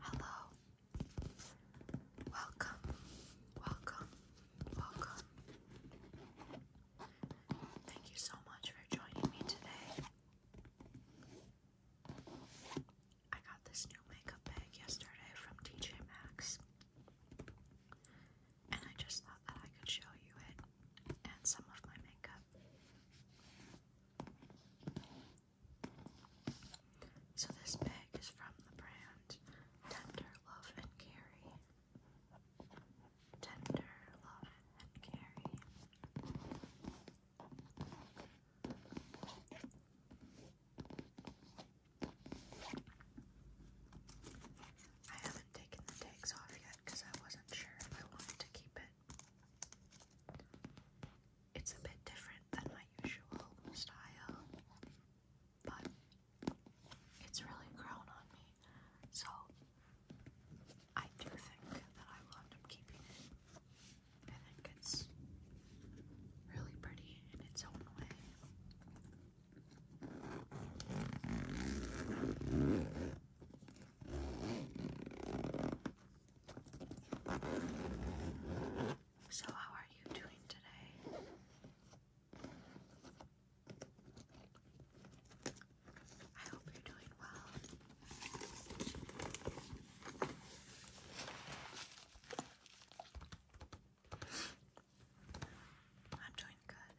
Hello. Welcome. Welcome. Welcome. Thank you so much for joining me today. I got this new makeup bag yesterday from TJ Maxx. And I just thought that I could show you it and some of my makeup. So this bag is from the brand Tender Love and Carry. Tender Love and Carry. I haven't taken the tags off yet because I wasn't sure if I wanted to keep it it's a bit different than my usual style, but it's really grown on me. So I do think that I will end up keeping it. I think it's really pretty in its own way. So, how are you doing today? I hope you're doing well. I'm doing good.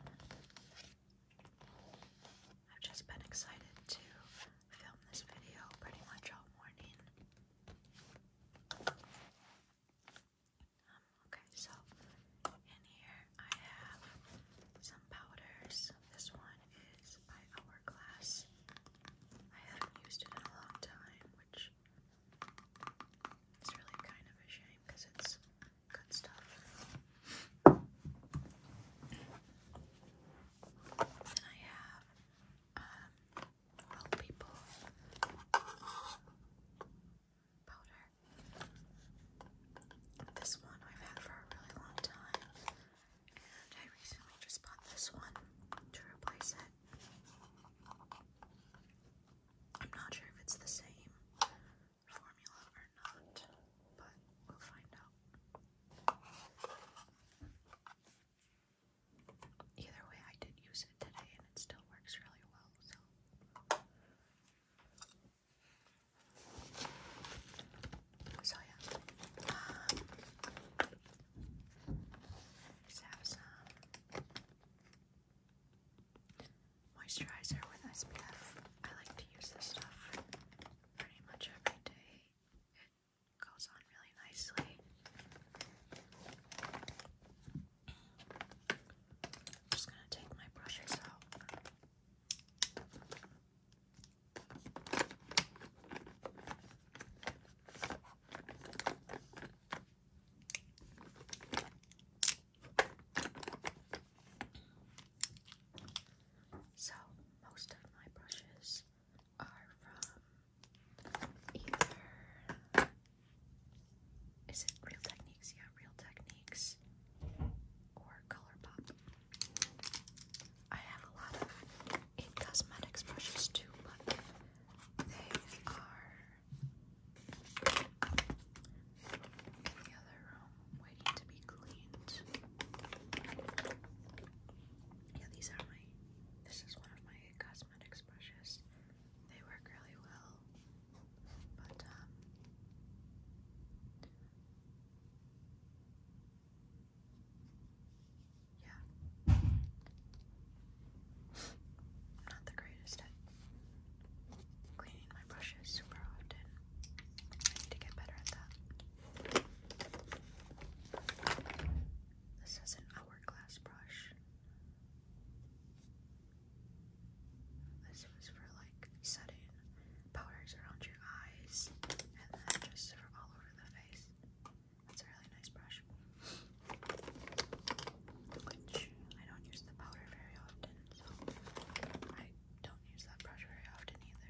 I've just been excited to film this video pretty much all morning. Um, okay, so in here I have some powders. This one is by Hourglass. I haven't used it in a long time, which is really kind of a shame because it's good stuff. I have um, People powder. This one I've had for a really long time, and I recently just bought this one to replace it. I'm not sure if it's the same formula or not, but we'll find out. Either way, I did use it today and it still works really well, so. yeah. Um, just have some moisturizer with SPF. I like to use this stuff pretty much every day goes on really nicely. just gonna take my brushes out. So, most of my brushes are from either. Is it Real Techniques? Yeah, Real Techniques or Color I have a lot of in cosmetics brushes too, but they are in the other room waiting to be cleaned. Yeah, these are my this is one of my cosmetics brushes. They work really well, but um, yeah. not the greatest at cleaning my brushes super often. I need to get better at that. This is an hourglass brush. This was for like setting powders around your eyes and then just for all over the face. That's a really nice brush. Which I don't use the powder very often, so I don't use that brush very often either.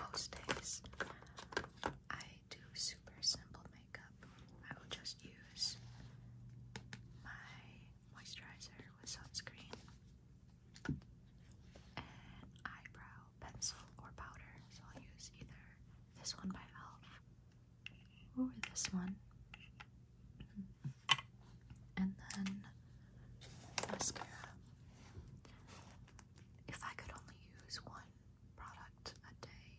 Most days, I do super simple makeup. I will just use my moisturizer with sunscreen, an eyebrow pencil or powder. So I'll use either this one by e.l.f. or this one. Mm-hmm and then mascara. If I could only use one product a day,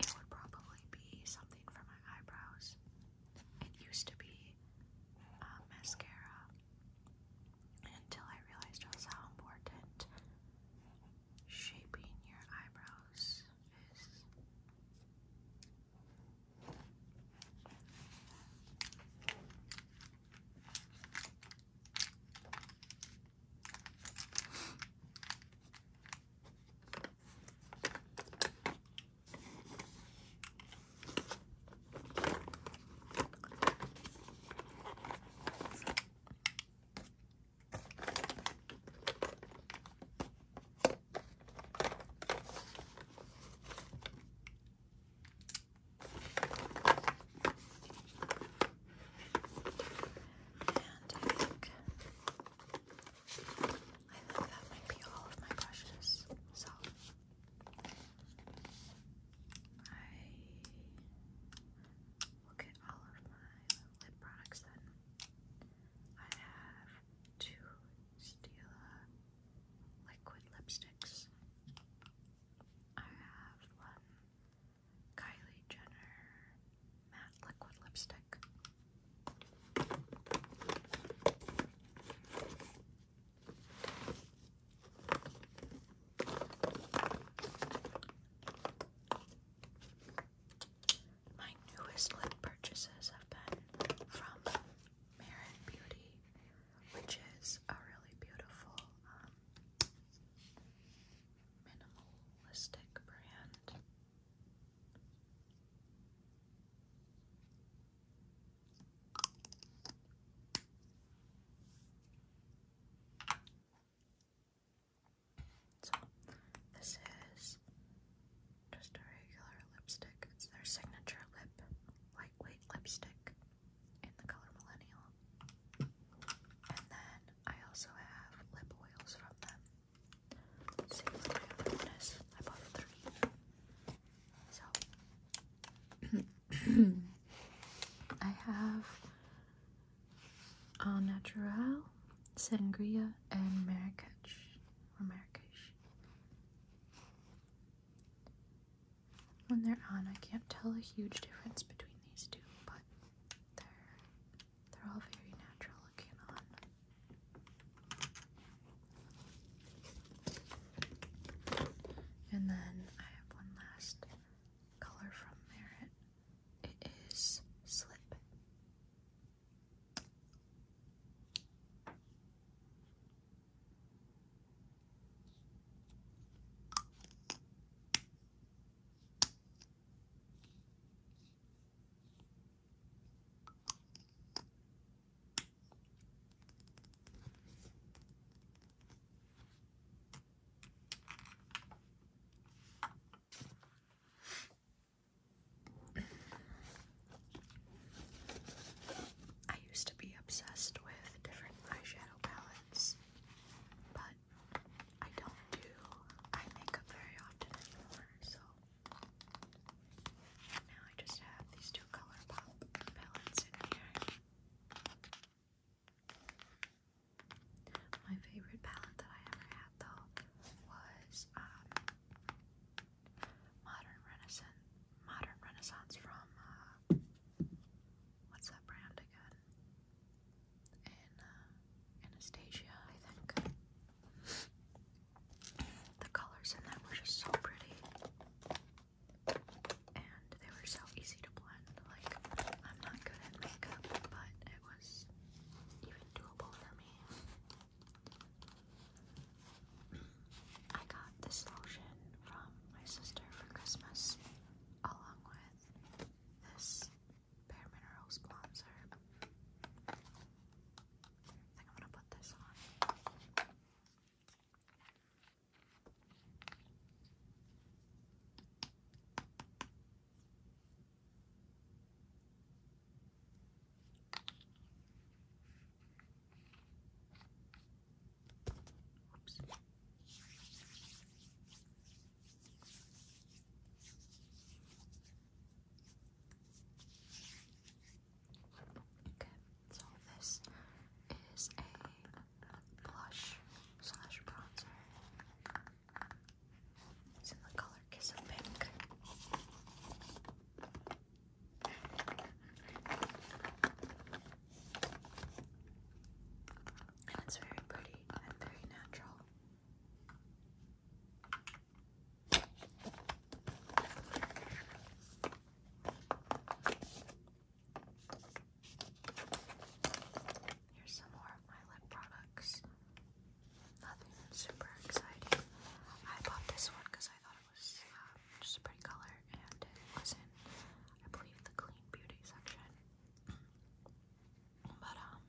it would probably be something for my eyebrows. It used to be uh, mascara until I realized how important shaping your eyebrows is. I think, that might be all of my brushes. So I look at all of my lip products then. I have two Stila liquid lipsticks. I have one Kylie Jenner matte liquid lipstick. My newest lip purchases have been from Marin Beauty, which is a really beautiful um, brand. So this is just a regular lipstick. It's their signature lip, lightweight lipstick in the color Millennial. And then I also have lip oils from them. Let's see what my other one is. I bought three. So I have Al Natural, Sangria, and Marrakech or Marrakesh. When they're on, I can't tell a huge difference between these two, but they're they're all very natural looking on. And then I have one last color from Merit it is slip. I used to be obsessed with different eyeshadow palettes, but I don't do eye makeup very often anymore, so now I just have these two ColourPop palettes in here. My favorite palette that I ever had though was um, Modern Renaissance. Modern Renaissance from uh, what's that brand again? Uh, Anastasia, I think. The colors in that were just so pretty, and they were so easy to blend. Like I'm not good at makeup, but it was even doable for me. I got this lotion from my sister for Christmas, along with this Bare Minerals bronzer. I think I'm gonna put this on. Oops. Okay, so this is a blush slash bronzer. It's in color Kiss Pink. And it's very pretty and very natural. Here's some more of my lip products. Nothing super exciting. I bought this one because I thought it was um, just a pretty color and it was in, I believe, the clean beauty section. But, um,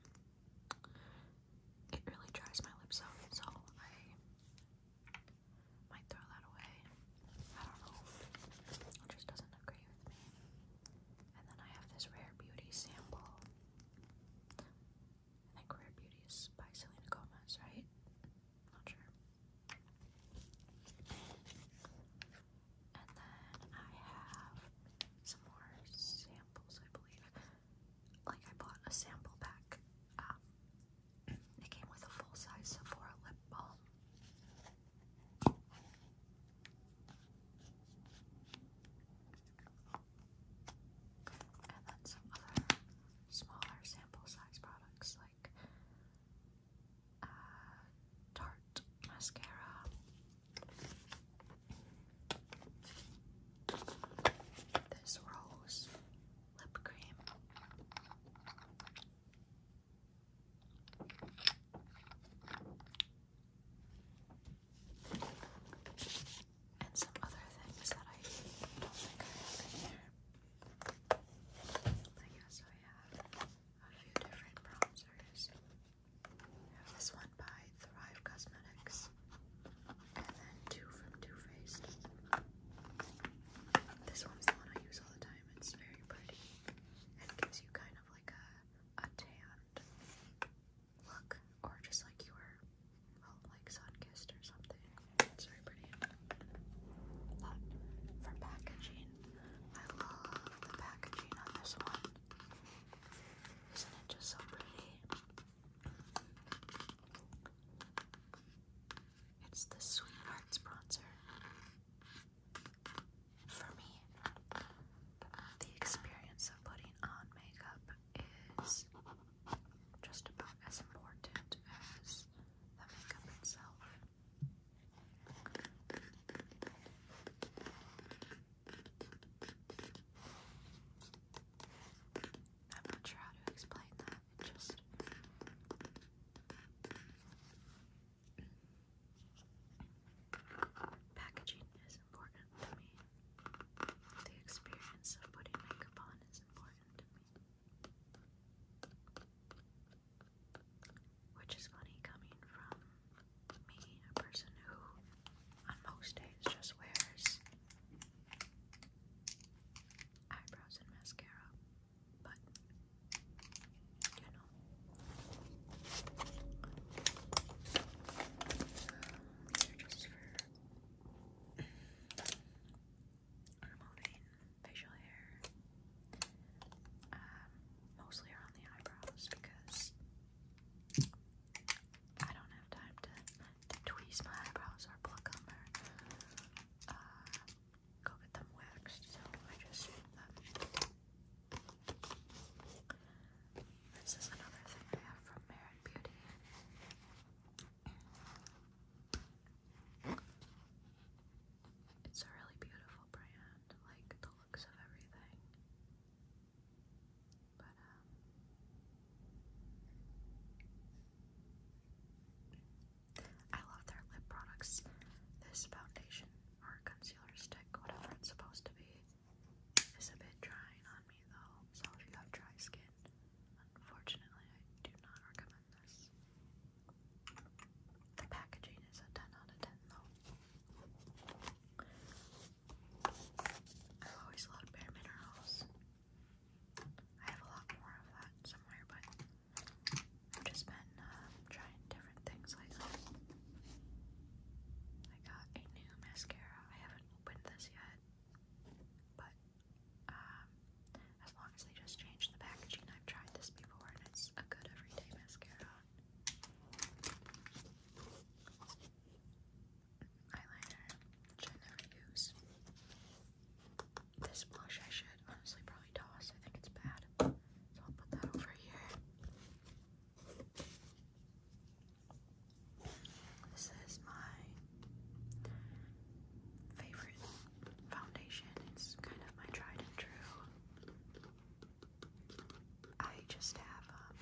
it really dries my lips out, so I might throw that away. I don't know. It just doesn't agree with me. And then I have this Rare Beauty sample. I think Rare Beauty by Selena Gomez, right? Not sure. And then I have some more samples, I believe. Like, I bought a sample pack. Um, it came with a full size Sephora lip balm. And then some other smaller sample size products like uh, Tarte mascara. This rose lip cream and some other things that I don't think I have in here. I guess I have a few different bronzers. I have this one by Thrive Cosmetics, and then two from Too Faced. This one's the one I use all the time. It's very pretty and gives you kind of like a a tanned look, or just like you were, well, like sun-kissed or something. It's very pretty. But for packaging, I love the packaging on this one. Isn't it just so pretty? It's the Sweethearts bronzer. For me, the experience of putting on makeup is just about as important as the makeup itself. I'm not sure how to explain that. just packaging is is important to me. The experience of putting makeup on is important to me. Which is funny coming from me, a person who on most days just wears eyebrows and mascara. But you know these are just for removing facial hair, mostly around the eyebrows because I don't have time to, tweeze my eyebrows or pluck them go get them waxed, so I just shoot them. This is another thing I have from Merit Beauty. It's a really beautiful brand, like the looks of everything. But, um, I love their lip products. This foundation or concealer stick, whatever it's supposed to be, it's a bit drying on me though, so if you have dry skin, unfortunately I do not recommend this. The packaging is a 10 out of 10 though. I've always loved Bare Minerals. I have a lot more of that somewhere, but I've just been uh, trying different things lately. I got a new mascara. I haven't opened this yet, but um, as long as they just change the packaging, I've tried this before and it's a good everyday mascara. Eyeliner, which I never This blush I should honestly probably toss, I think it's bad. So I'll put that over here. This is my favorite foundation. It's kind of my tried and true. I just have, um,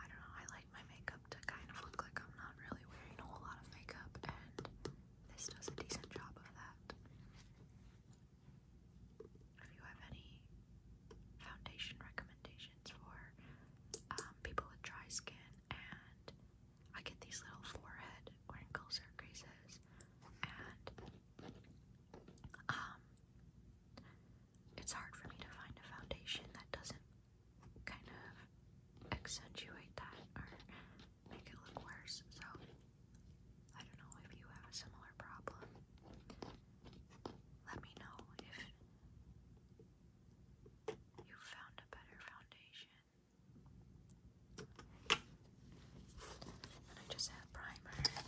I don't know, I like my makeup to kind of look like I'm not really wearing a whole lot of makeup, and this does a decent job of that if you have any foundation recommendations for um, people with dry skin, and I get these little forehead wrinkles or creases, and um, it's hard for me to find a foundation that doesn't kind of accentuate that or make it look worse. So I don't know if you have a similar problem. Let me know if you found a better foundation. And I just have primer, a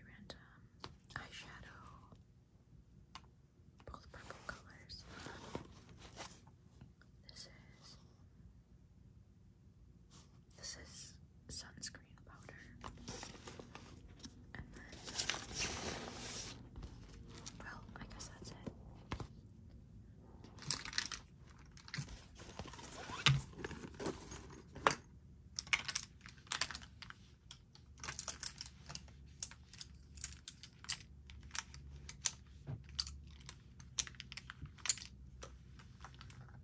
random eyeshadow, both purple colors. This is this is sunscreen powder. well, I guess that's it.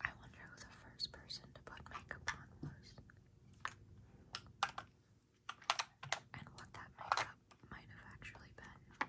I wonder who the first person to put makeup on was. And what that makeup might have actually been.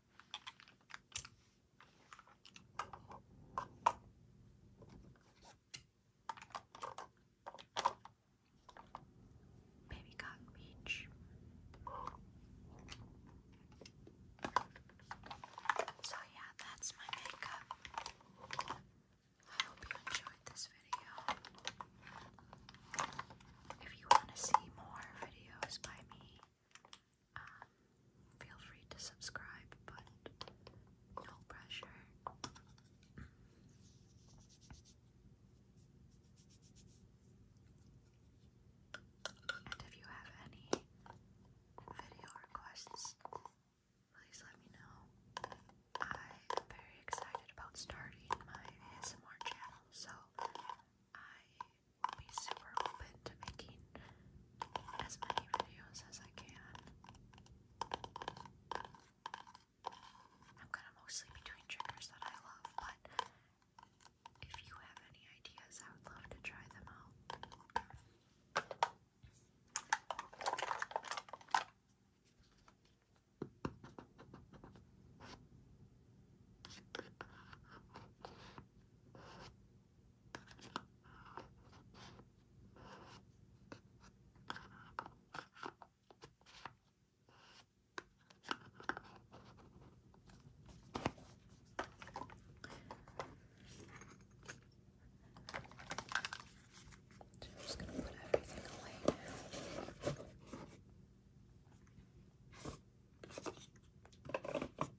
Baby Cotton Beach. So, yeah, that's my makeup. I hope you enjoyed this video. If you want to see more videos by me, um, feel free to subscribe, but no pressure. And if you have any video requests, please let me know. I'm very excited about starting my ASMR channel, so I I'll be super open to making as many videos as I can. I'm gonna mostly be doing triggers that I love, but if you have any ideas, I would love to try them out. So I'm just going to put everything away now.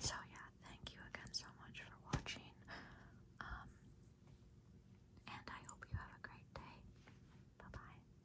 So yeah, thank you again so much for watching. Um and I hope you have a great day. Bye-bye.